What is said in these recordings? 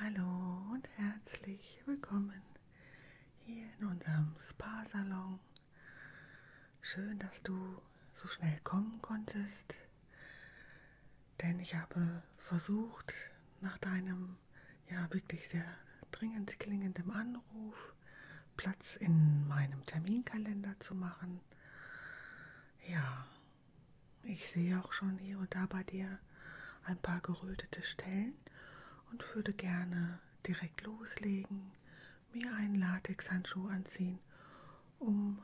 Hallo und herzlich willkommen hier in unserem Spa-Salon. Schön, dass du so schnell kommen konntest, denn ich habe versucht, nach deinem ja wirklich sehr dringend klingenden Anruf Platz in meinem Terminkalender zu machen. Ja, ich sehe auch schon hier und da bei dir ein paar gerötete Stellen und würde gerne direkt loslegen, mir einen Latexhandschuh anziehen, um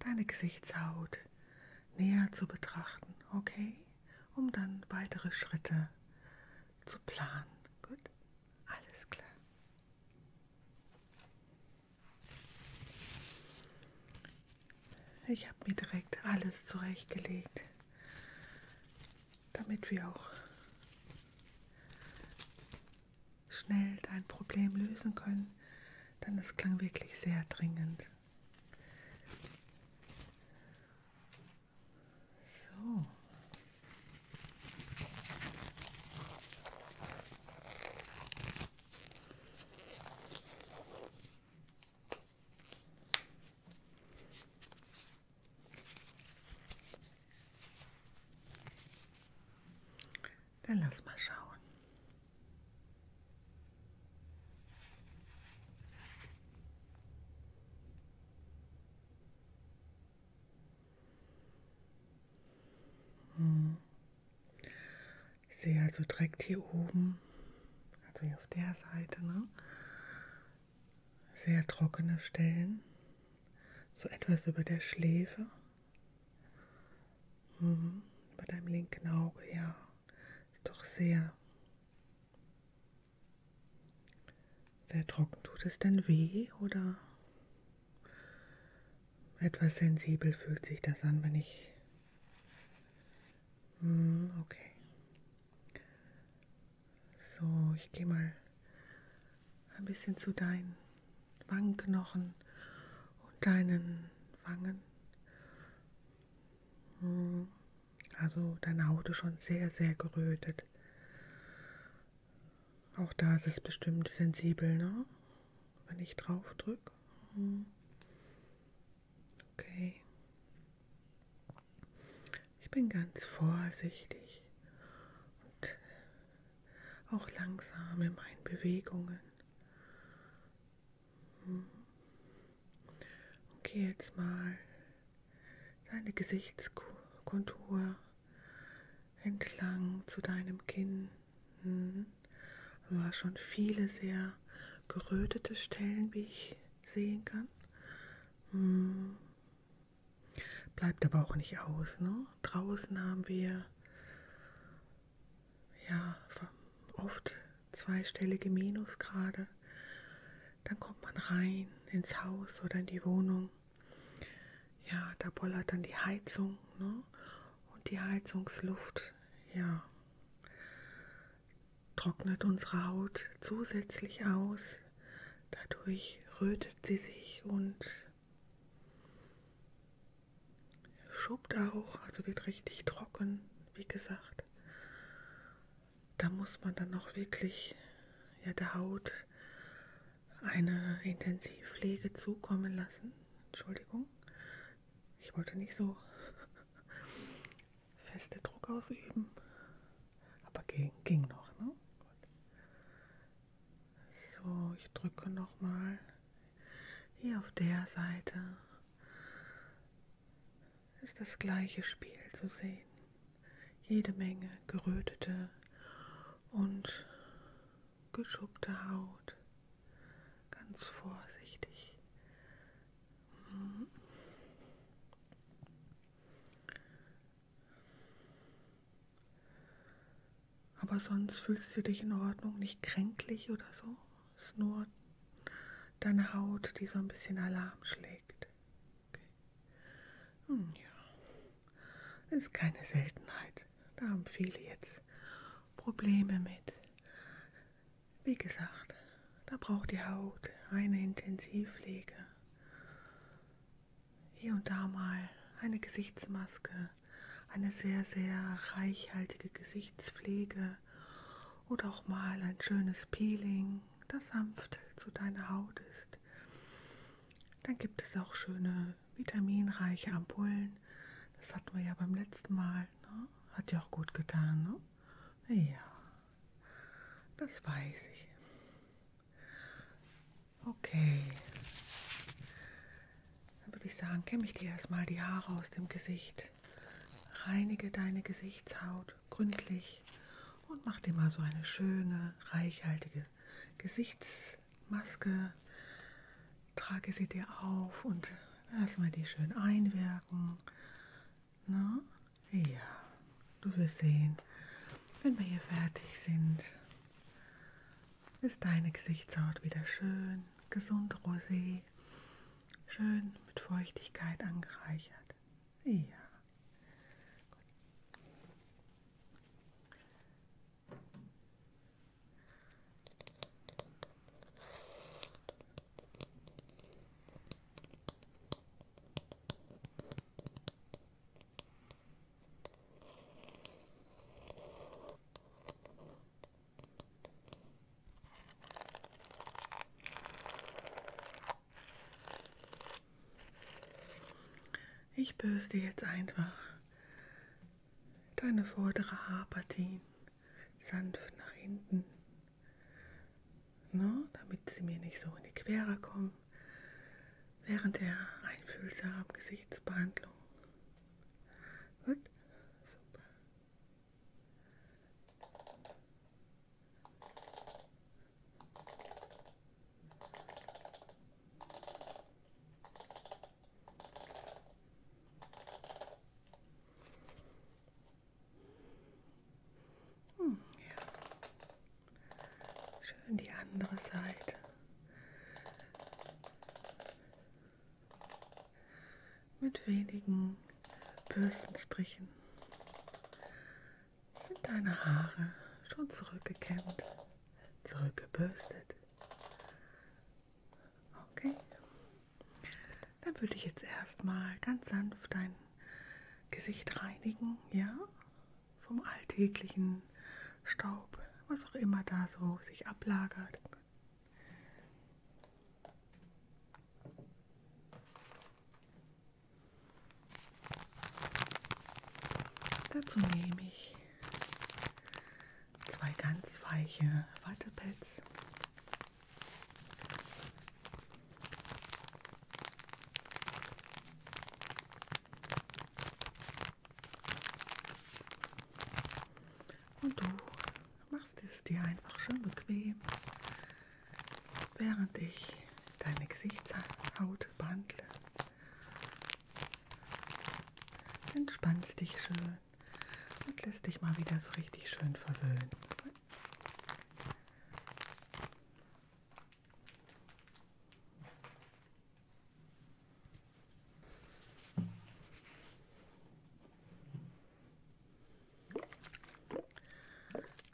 deine Gesichtshaut näher zu betrachten, okay? Um dann weitere Schritte zu planen. Gut? Alles klar. Ich habe mir direkt alles zurechtgelegt, damit wir auch schnell dein Problem lösen können, denn es klang wirklich sehr dringend. So. Dann lass mal schauen. Ich sehe also direkt hier oben, also hier auf der Seite, ne? sehr trockene Stellen, so etwas über der Schläfe, mhm. über deinem linken Auge, ja, ist doch sehr, sehr trocken. Tut es denn weh oder? Etwas sensibel fühlt sich das an, wenn ich... Hm, okay. So, ich gehe mal ein bisschen zu deinen Wangenknochen und deinen Wangen. Hm, also deine Haut ist schon sehr, sehr gerötet. Auch da ist es bestimmt sensibel, ne? Wenn ich drauf drücke. Hm. Okay. Ich bin ganz vorsichtig und auch langsam in meinen Bewegungen. Und hm. gehe jetzt mal deine Gesichtskontur entlang zu deinem Kinn. Hm. Also du hast schon viele sehr gerötete Stellen, wie ich sehen kann. Hm. Bleibt aber auch nicht aus. Ne? Draußen haben wir ja oft zweistellige Minusgrade. Dann kommt man rein ins Haus oder in die Wohnung. Ja, da bollert dann die Heizung. Ne? Und die Heizungsluft, ja, trocknet unsere Haut zusätzlich aus. Dadurch rötet sie sich und schuppt auch, also wird richtig trocken, wie gesagt. Da muss man dann noch wirklich ja, der Haut eine Intensivpflege zukommen lassen. Entschuldigung, ich wollte nicht so feste Druck ausüben, aber ging, ging noch. Ne? So, ich drücke nochmal hier auf der Seite. Ist das gleiche Spiel zu sehen. Jede Menge gerötete und geschuppte Haut. Ganz vorsichtig. Mhm. Aber sonst fühlst du dich in Ordnung, nicht kränklich oder so. Es ist nur deine Haut, die so ein bisschen Alarm schlägt. Okay. Hm, ja. Das ist keine Seltenheit. Da haben viele jetzt Probleme mit. Wie gesagt, da braucht die Haut eine Intensivpflege. Hier und da mal eine Gesichtsmaske, eine sehr, sehr reichhaltige Gesichtspflege oder auch mal ein schönes Peeling, das sanft zu deiner Haut ist. Dann gibt es auch schöne vitaminreiche Ampullen. Das hatten wir ja beim letzten Mal. Ne? Hat ja auch gut getan. Ne? Ja, das weiß ich. Okay. Dann würde ich sagen, kämme ich dir erstmal die Haare aus dem Gesicht. Reinige deine Gesichtshaut gründlich und mach dir mal so eine schöne, reichhaltige Gesichts Maske, trage sie dir auf und lass mal die schön einwirken. Na? Ne? Ja, du wirst sehen, wenn wir hier fertig sind, ist deine Gesichtshaut wieder schön, gesund rosé, schön mit Feuchtigkeit angereichert. Ja. Gut. Ich bürste jetzt einfach deine vordere Haarpartien sanft nach hinten, ne, damit sie mir nicht so in die Quere kommen, während der einfühlsamen Gesichtsbehandlung. Gut, super. Hm, ja. Schön die andere Seite. Mit wenigen Bürstenstrichen sind deine Haare schon zurückgekämmt, zurückgebürstet. Okay. Dann würde ich jetzt erstmal ganz sanft dein Gesicht reinigen, ja? Vom alltäglichen Staub, was auch immer da so sich ablagert. Dazu nehme ich zwei ganz weiche Wattepads. Und du machst es dir einfach schön bequem, während ich deine Gesichtshaut behandle. Entspannst dich schön und lässt dich mal wieder so richtig schön verwöhnen.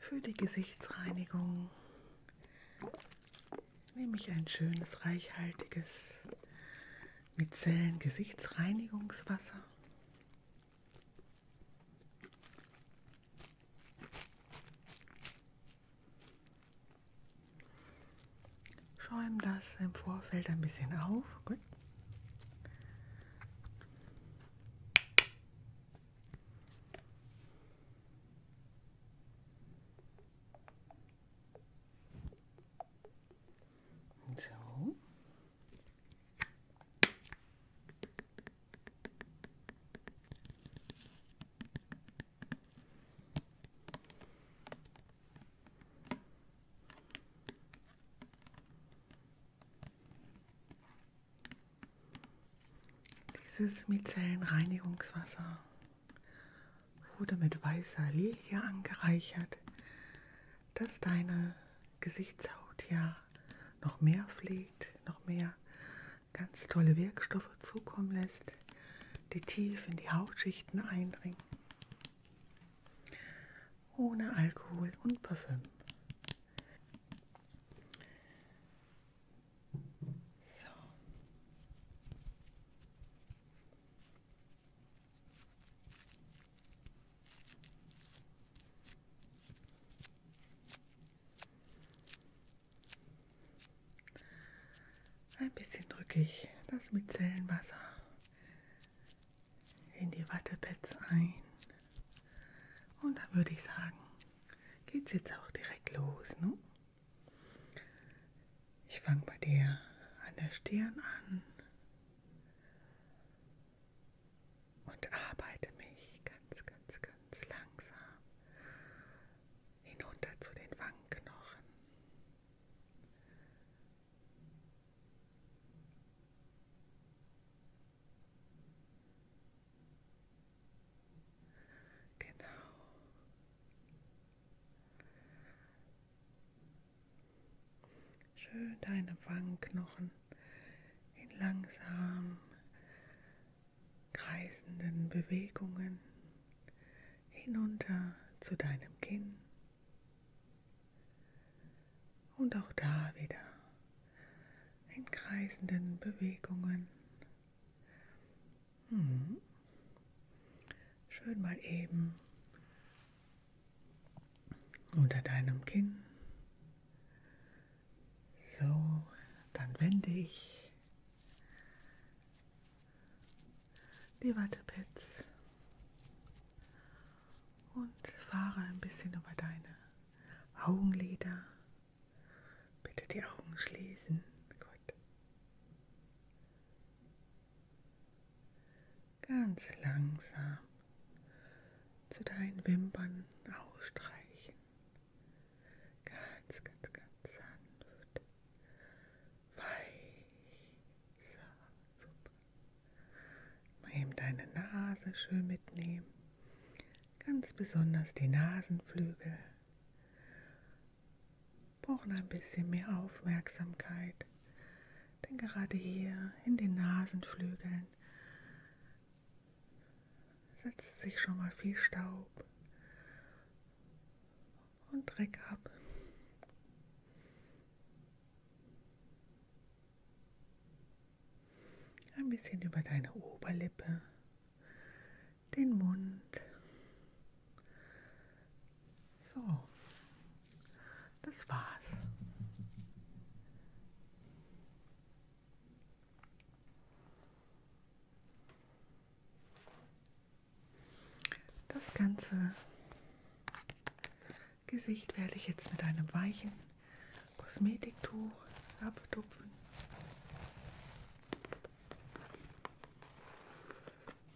Für die Gesichtsreinigung nehme ich ein schönes, reichhaltiges Mizellen-Gesichtsreinigungswasser. Schäume das im Vorfeld ein bisschen auf. Gut. So. Dieses Micellenreinigungswasser wurde mit weißer Lilie angereichert, dass deine Gesichtshaut ja noch mehr pflegt, noch mehr ganz tolle Wirkstoffe zukommen lässt, die tief in die Hautschichten eindringen. Ohne Alkohol und Parfüm. So. Ein bisschen drücke ich das Micellenwasser in die Wattepads ein. Und dann würde ich sagen, geht's jetzt auch direkt los, ne? Ich fange bei dir an der Stirn an und arbeite mich ganz, ganz, ganz langsam hinunter zu den Wangenknochen. Genau. Schön deine Wangenknochen in langsam kreisenden Bewegungen hinunter zu deinem Kinn. Und auch da wieder in kreisenden Bewegungen hm. Schön mal eben unter deinem Kinn. So, dann wende ich die Wattepads und fahre ein bisschen über deine Augenlider. Bitte die Augen schließen. Gut. Ganz langsam zu deinen Wimpern ausstreichen. Ganz, ganz, ganz sanft. Weich. So, super. Mal eben deine Nase schön mitnehmen. Ganz besonders die Nasenflügel brauchen ein bisschen mehr Aufmerksamkeit, denn gerade hier in den Nasenflügeln setzt sich schon mal viel Staub und Dreck ab. Ein bisschen über deine Oberlippe, den Mund so, das war's. Das ganze Gesicht werde ich jetzt mit einem weichen Kosmetiktuch abtupfen.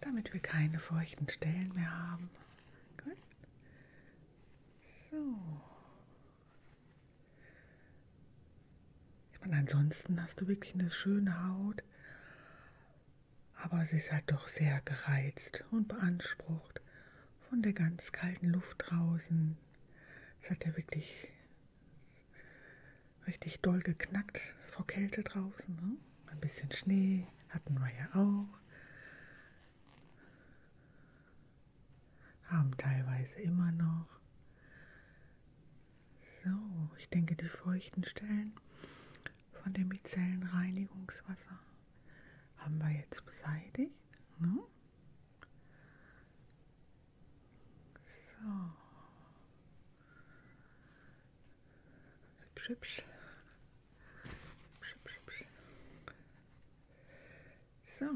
Damit wir keine feuchten Stellen mehr haben. Gut. So. Ich meine, ansonsten hast du wirklich eine schöne Haut, aber sie ist halt doch sehr gereizt und beansprucht von der ganz kalten Luft draußen es hat ja wirklich richtig doll geknackt vor Kälte draußen. Ne? Ein bisschen Schnee hatten wir ja auch. Haben teilweise immer noch. So, ich denke, die feuchten Stellen von dem Micellenreinigungswasser haben wir jetzt beseitigt. Ne? So. Hübsch, hübsch. Hübsch, hübsch, hübsch. So,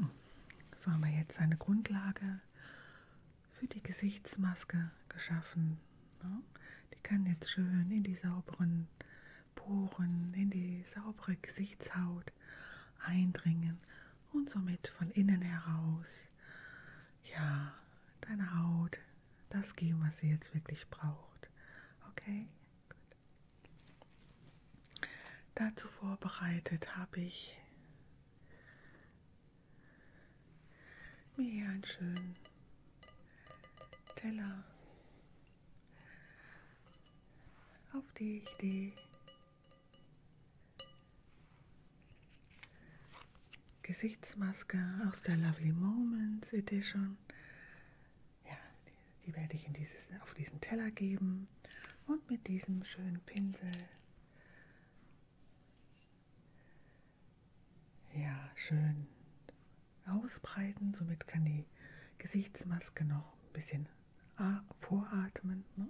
so haben wir jetzt eine Grundlage für die Gesichtsmaske geschaffen. Ne? Die kann jetzt schön in die sauberen Poren, in die saubere Gesichtshaut eindringen und somit von innen heraus, ja, deine Haut das geben, was sie jetzt wirklich braucht. Okay? Gut. Dazu vorbereitet habe ich mir hier einen schönen Teller auf die Idee. Gesichtsmaske aus der Lovely Moments Edition. Ja, die, die werde ich in dieses, auf diesen Teller geben. Und mit diesem schönen Pinsel. Ja, schön ausbreiten. Somit kann die Gesichtsmaske noch ein bisschen voratmen. Ne?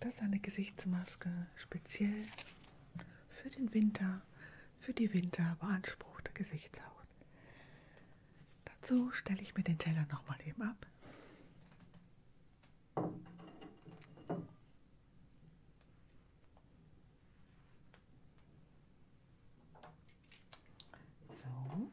Das ist eine Gesichtsmaske, speziell für den Winter, für die Winter beanspruchte Gesichtshaut. Dazu stelle ich mir den Teller nochmal eben ab. So.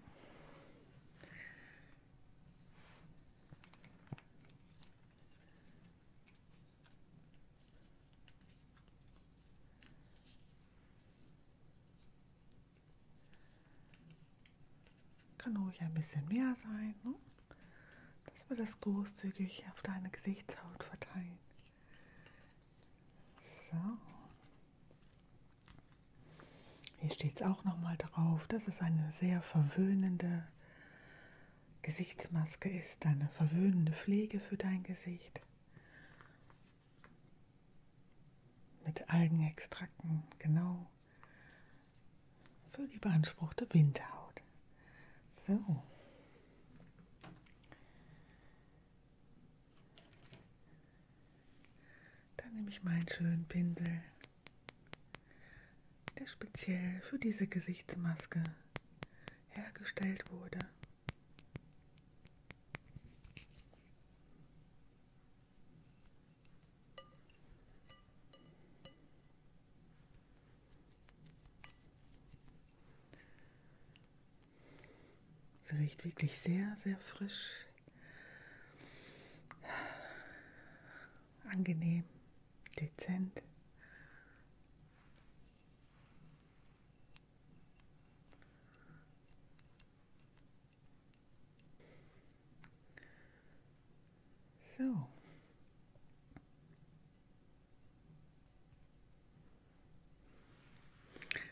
Kann ruhig ein bisschen mehr sein, ne? dass wir das großzügig auf deine Gesichtshaut verteilen. So. Hier steht es auch nochmal drauf, dass es eine sehr verwöhnende Gesichtsmaske ist, eine verwöhnende Pflege für dein Gesicht. Mit Algenextrakten, genau. Für die beanspruchte Winterhaut. So. Dann nehme ich meinen schönen Pinsel, der speziell für diese Gesichtsmaske hergestellt wurde. Es riecht wirklich sehr, sehr frisch. Angenehm, dezent. So.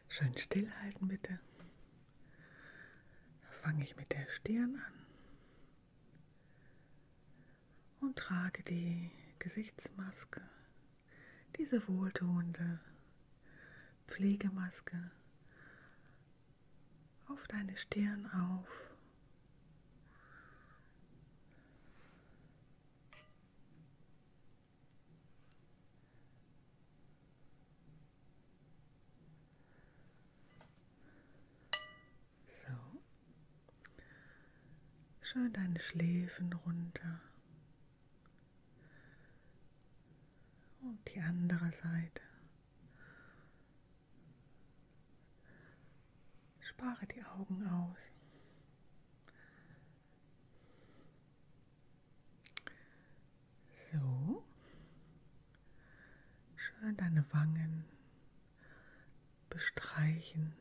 Schön stillhalten bitte. Fange ich mit der Stirn an und trage die Gesichtsmaske, diese wohltuende Pflegemaske auf deine Stirn auf. So. Schön deine Schläfen runter. Und die andere Seite. Spare die Augen aus. So. Schön deine Wangen bestreichen.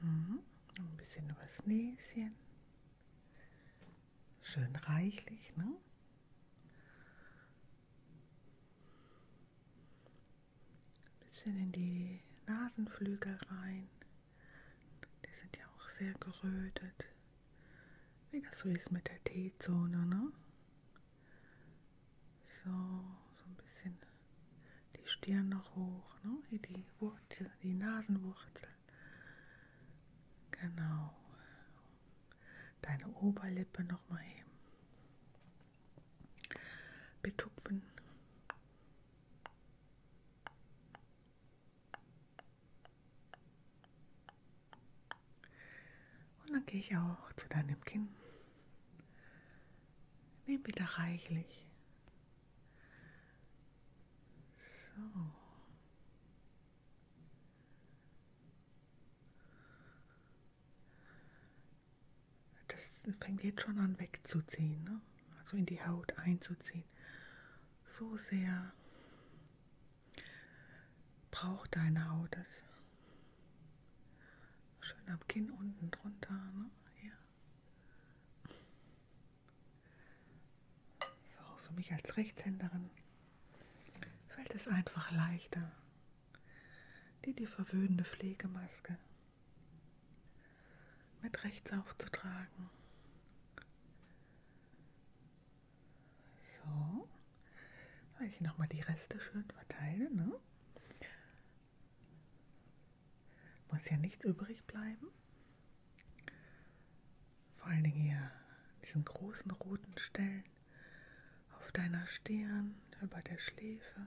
Mhm. Ein bisschen übers Näschen. Schön reichlich, ne? Ein bisschen in die Nasenflügel rein. Die sind ja auch sehr gerötet. Wie das so ist mit der T-Zone, ne? So, so ein bisschen die Stirn noch hoch, ne? Hier die Wurzel, die Nasenwurzel. Genau. Deine Oberlippe noch mal eben betupfen. Und dann gehe ich auch zu deinem Kinn. Nimm wieder reichlich so. Das fängt jetzt schon an wegzuziehen, ne? also in die Haut einzuziehen. So sehr braucht deine Haut es. Schön am Kinn unten drunter, ne? Hier. So, für mich als Rechtshänderin fällt es einfach leichter. Die, die verwöhnende Pflegemaske mit rechts aufzutragen. So, weil ich nochmal die Reste schön verteile, ne? Muss ja nichts übrig bleiben. Vor allen Dingen hier diesen großen roten Stellen auf deiner Stirn, über der Schläfe.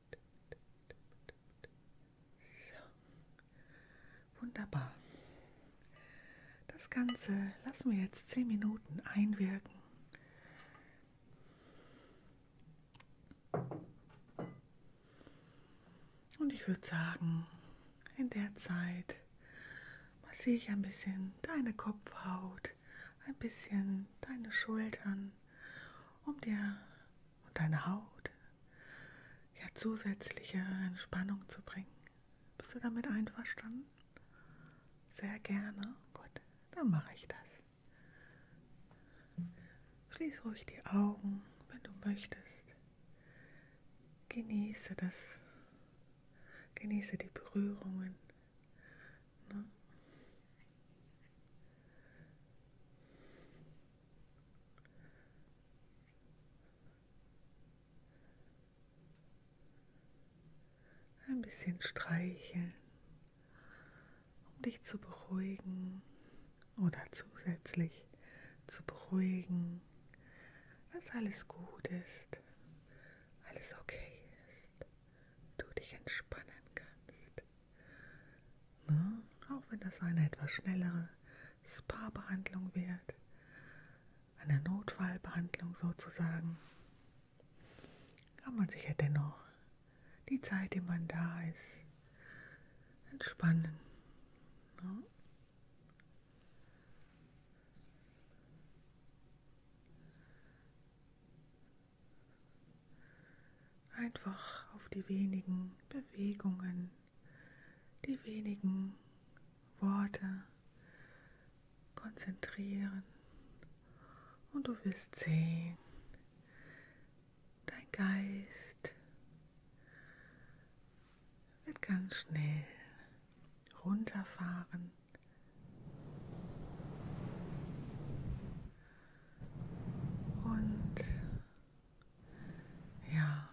So. Wunderbar. Das Ganze lassen wir jetzt zehn Minuten einwirken. Und ich würde sagen, in der Zeit massiere ich ein bisschen deine Kopfhaut, ein bisschen deine Schultern, um dir und deine Haut ja zusätzliche Entspannung zu bringen. Bist du damit einverstanden? Sehr gerne. Gut, dann mache ich das. Schließ ruhig die Augen, wenn du möchtest. Genieße das. Genieße die Berührungen. Ne? Ein bisschen streicheln, um dich zu beruhigen oder zusätzlich zu beruhigen, dass alles gut ist, alles okay ist, du dich entspannen kannst. Ne? Auch wenn das eine etwas schnellere Spa-Behandlung wird, eine Notfallbehandlung sozusagen, kann man sich ja dennoch die Zeit, die man da ist, entspannen. Ne? einfach auf die wenigen Bewegungen, die wenigen Worte konzentrieren und du wirst sehen, dein Geist wird ganz schnell runterfahren. und ja,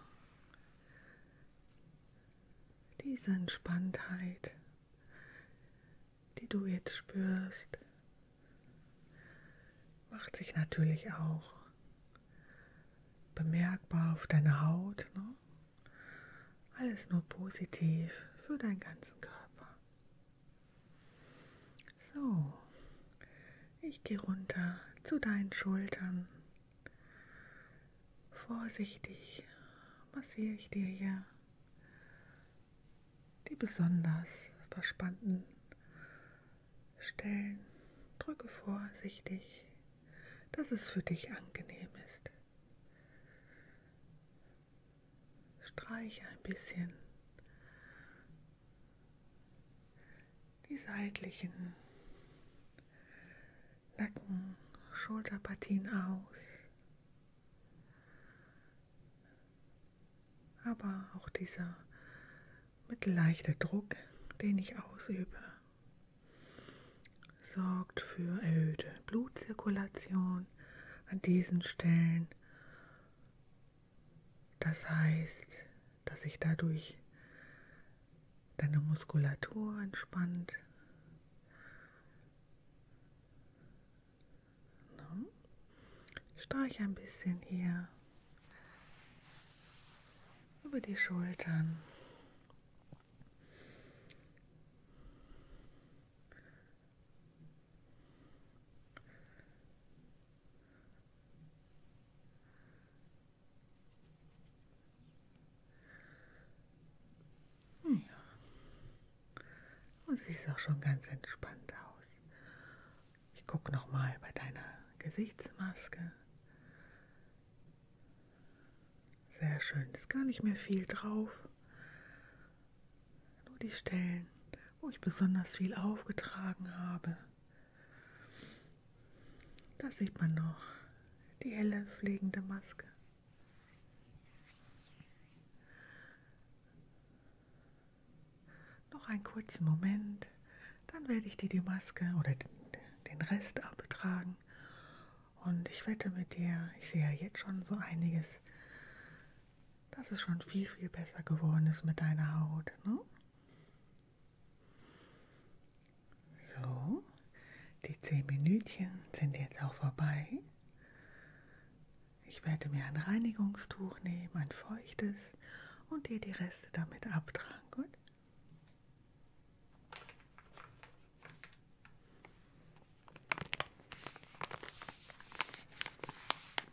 diese Entspanntheit, die du jetzt spürst, macht sich natürlich auch bemerkbar auf deiner Haut. Ne? Alles nur positiv für deinen ganzen Körper. So, ich gehe runter zu deinen Schultern. Vorsichtig massiere ich dir hier die besonders verspannten Stellen. Drücke vorsichtig, dass es für dich angenehm ist. Streiche ein bisschen die seitlichen Nacken, Schulterpartien aus, aber auch dieser mit leichter Druck, den ich ausübe, sorgt für erhöhte Blutzirkulation an diesen Stellen das heißt, dass sich dadurch deine Muskulatur entspannt. Ich streiche ein bisschen hier über die Schultern. Ja. Und siehst auch schon ganz entspannt aus. Ich gucke nochmal bei deiner Gesichtsmaske. Sehr schön, ist gar nicht mehr viel drauf. Nur die Stellen, wo ich besonders viel aufgetragen habe. Da sieht man noch die helle pflegende Maske. Noch einen kurzen Moment, dann werde ich dir die Maske oder den Rest abtragen. Und ich wette mit dir, ich sehe ja jetzt schon so einiges, dass es schon viel, viel besser geworden ist mit deiner Haut. Ne? So, die zehn Minütchen sind jetzt auch vorbei. Ich werde mir ein Reinigungstuch nehmen, ein feuchtes, und dir die Reste damit abtragen. Gut?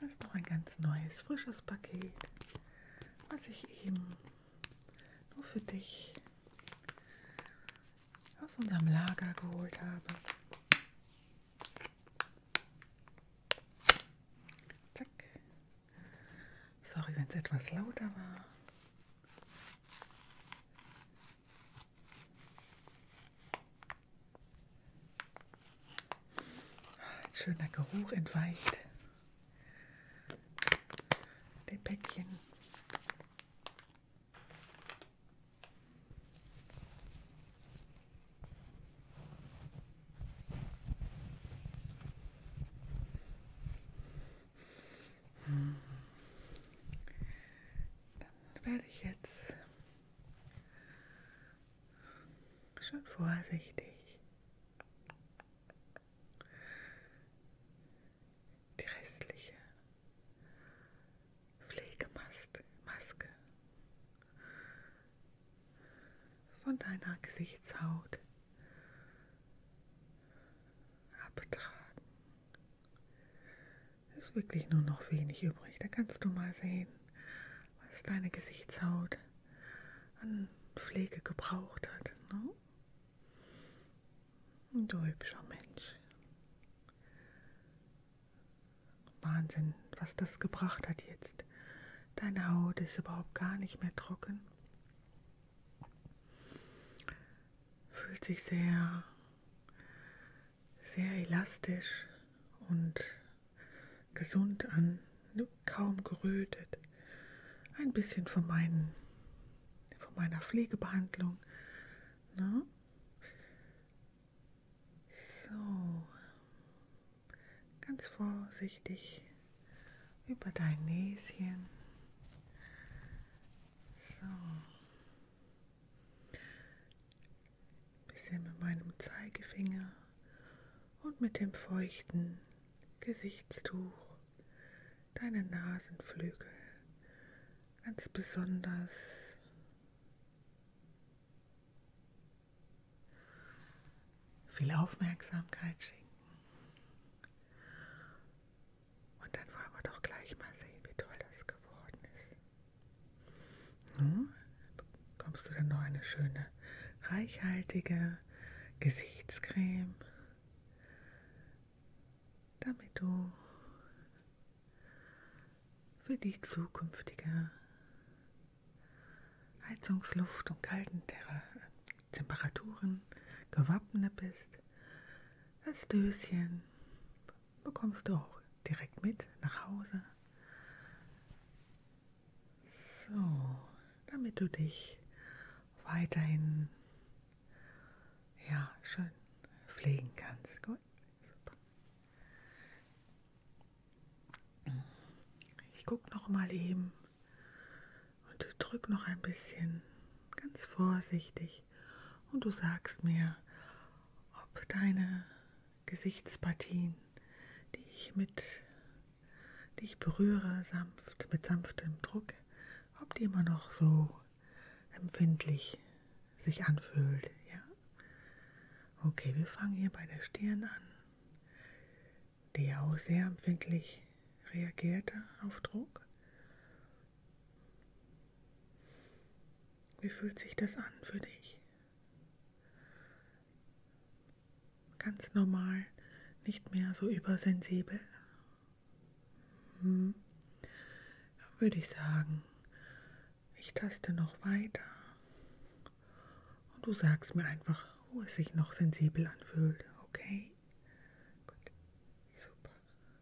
Das ist noch ein ganz neues, frisches Paket, was ich eben nur für dich aus unserem Lager geholt habe. Zack. Sorry, wenn es etwas lauter war. Ein schöner Geruch entweicht dem Päckchen. Hm. Dann werde ich jetzt Schon vorsichtig. Die restliche Pflegemaske Maske von deiner Gesichtshaut abtragen. Ist wirklich nur noch wenig übrig. Da kannst du mal sehen, was deine Gesichtshaut an Pflege gebraucht hat. Ne? Du hübscher Mensch. Wahnsinn, was das gebracht hat jetzt. Deine Haut ist überhaupt gar nicht mehr trocken. Fühlt sich sehr sehr elastisch und gesund an, kaum gerötet. Ein bisschen von, meinen, von meiner Pflegebehandlung. Ne? So, ganz vorsichtig über dein Näschen. So. Ein bisschen mit meinem Zeigefinger und mit dem feuchten Gesichtstuch deine Nasenflügel ganz besonders viel Aufmerksamkeit schenken. Und dann wollen wir doch gleich mal sehen, wie toll das geworden ist. So, bekommst du dann noch eine schöne, reichhaltige Gesichtscreme, damit du für die zukünftige Heizungsluft und kalten Terra Temperaturen gewappnet bist, das Döschen bekommst du auch direkt mit nach Hause. So, damit du dich weiterhin ja, schön pflegen kannst. Gut, super. Ich gucke noch mal eben und drück noch ein bisschen ganz vorsichtig mich und du sagst mir, ob deine Gesichtspartien, die ich mit, die ich berühre, sanft, mit sanftem Druck, ob die immer noch so empfindlich sich anfühlt, ja? Okay, wir fangen hier bei der Stirn an, die auch sehr empfindlich reagierte auf Druck. Wie fühlt sich das an für dich? Ganz normal, nicht mehr so übersensibel. Hm. Dann würde ich sagen, ich taste noch weiter und du sagst mir einfach, wo es sich noch sensibel anfühlt, okay? Gut, super.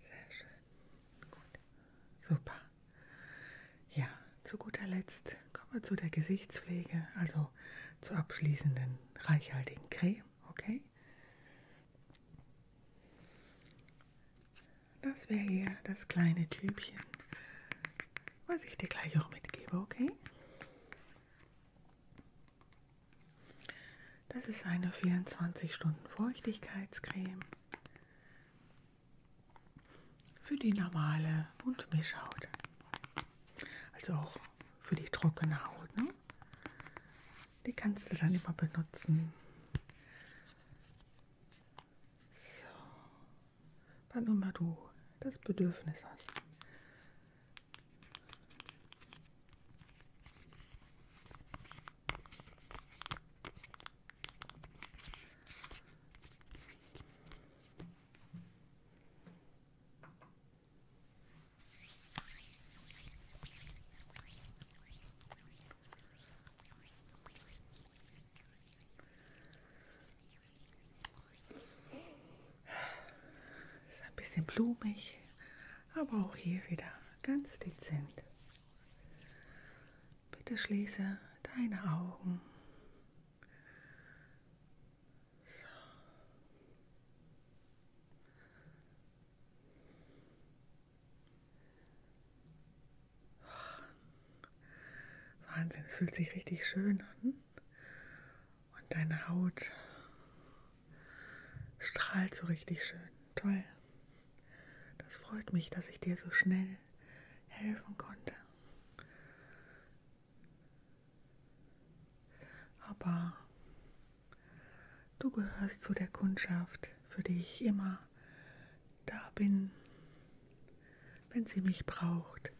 Sehr schön. Gut. Super. Ja, zu guter Letzt kommen wir zu der Gesichtspflege, also zur abschließenden reichhaltigen Creme, okay? Das wäre hier das kleine Tübchen, was ich dir gleich auch mitgebe, okay? Das ist eine 24 Stunden Feuchtigkeitscreme für die normale und Mischhaut. Also auch für die trockene Haut. Ne? Die kannst du dann immer benutzen. So, wann immer du das Bedürfnis hast. Ist ein bisschen blumig, aber auch hier wieder ganz dezent. Bitte schließe deine Augen. So. Wahnsinn, es fühlt sich richtig schön an. Und deine Haut Strahlt so richtig schön. Toll. Das freut mich, dass ich dir so schnell helfen konnte. Aber du gehörst zu der Kundschaft, für die ich immer da bin, wenn sie mich braucht,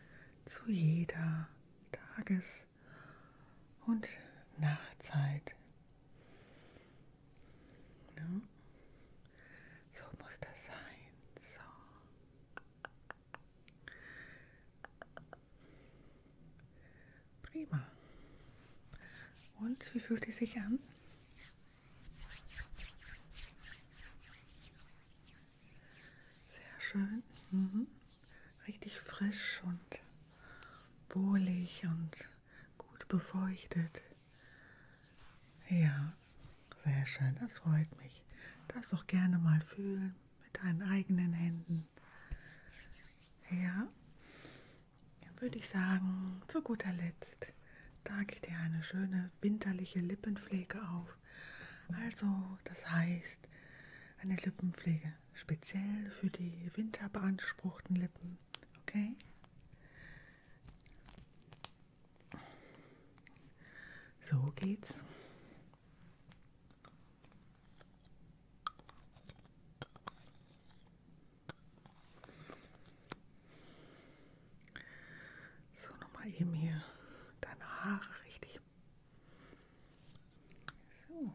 zu jeder Tages- und Nachtzeit. Ja. So muss das sein. So. Prima. Und wie fühlt es sich an? Sehr schön. Mhm. Richtig frisch und wohlig und gut befeuchtet. Ja, sehr schön, das freut mich. Darfst doch gerne mal fühlen mit deinen eigenen Händen. Ja, dann würde ich sagen, zu guter Letzt trage ich dir eine schöne winterliche Lippenpflege auf. Also, das heißt, eine Lippenpflege speziell für die winterbeanspruchten Lippen, okay? So geht's. So, nochmal eben hier deine Haare richtig. So.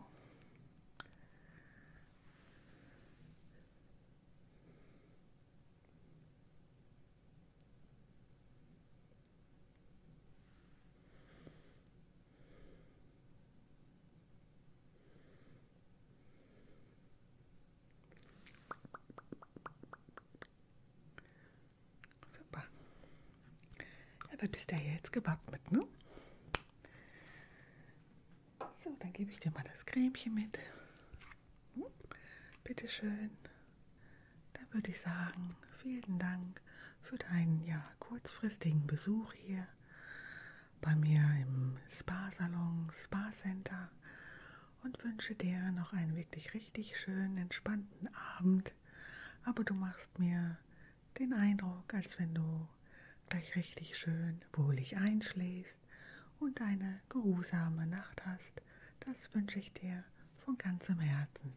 Super. Ja, dann ist der ja jetzt gewappnet, ne? So, dann gebe ich dir mal das Cremchen mit. Hm? Bitte schön. Dann würde ich sagen, vielen Dank für deinen ja kurzfristigen Besuch hier bei mir im Spa-Salon, Spa-Center und wünsche dir noch einen wirklich richtig schönen, entspannten Abend. Aber du machst mir den Eindruck, als wenn du gleich richtig schön wohlig einschläfst und eine geruhsame Nacht hast. Das wünsche ich dir von ganzem Herzen.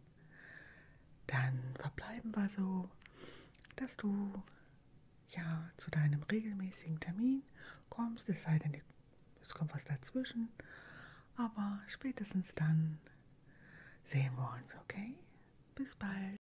Dann verbleiben wir so, dass du ja zu deinem regelmäßigen Termin kommst, es sei denn, es kommt was dazwischen, aber spätestens dann sehen wir uns, okay? Bis bald.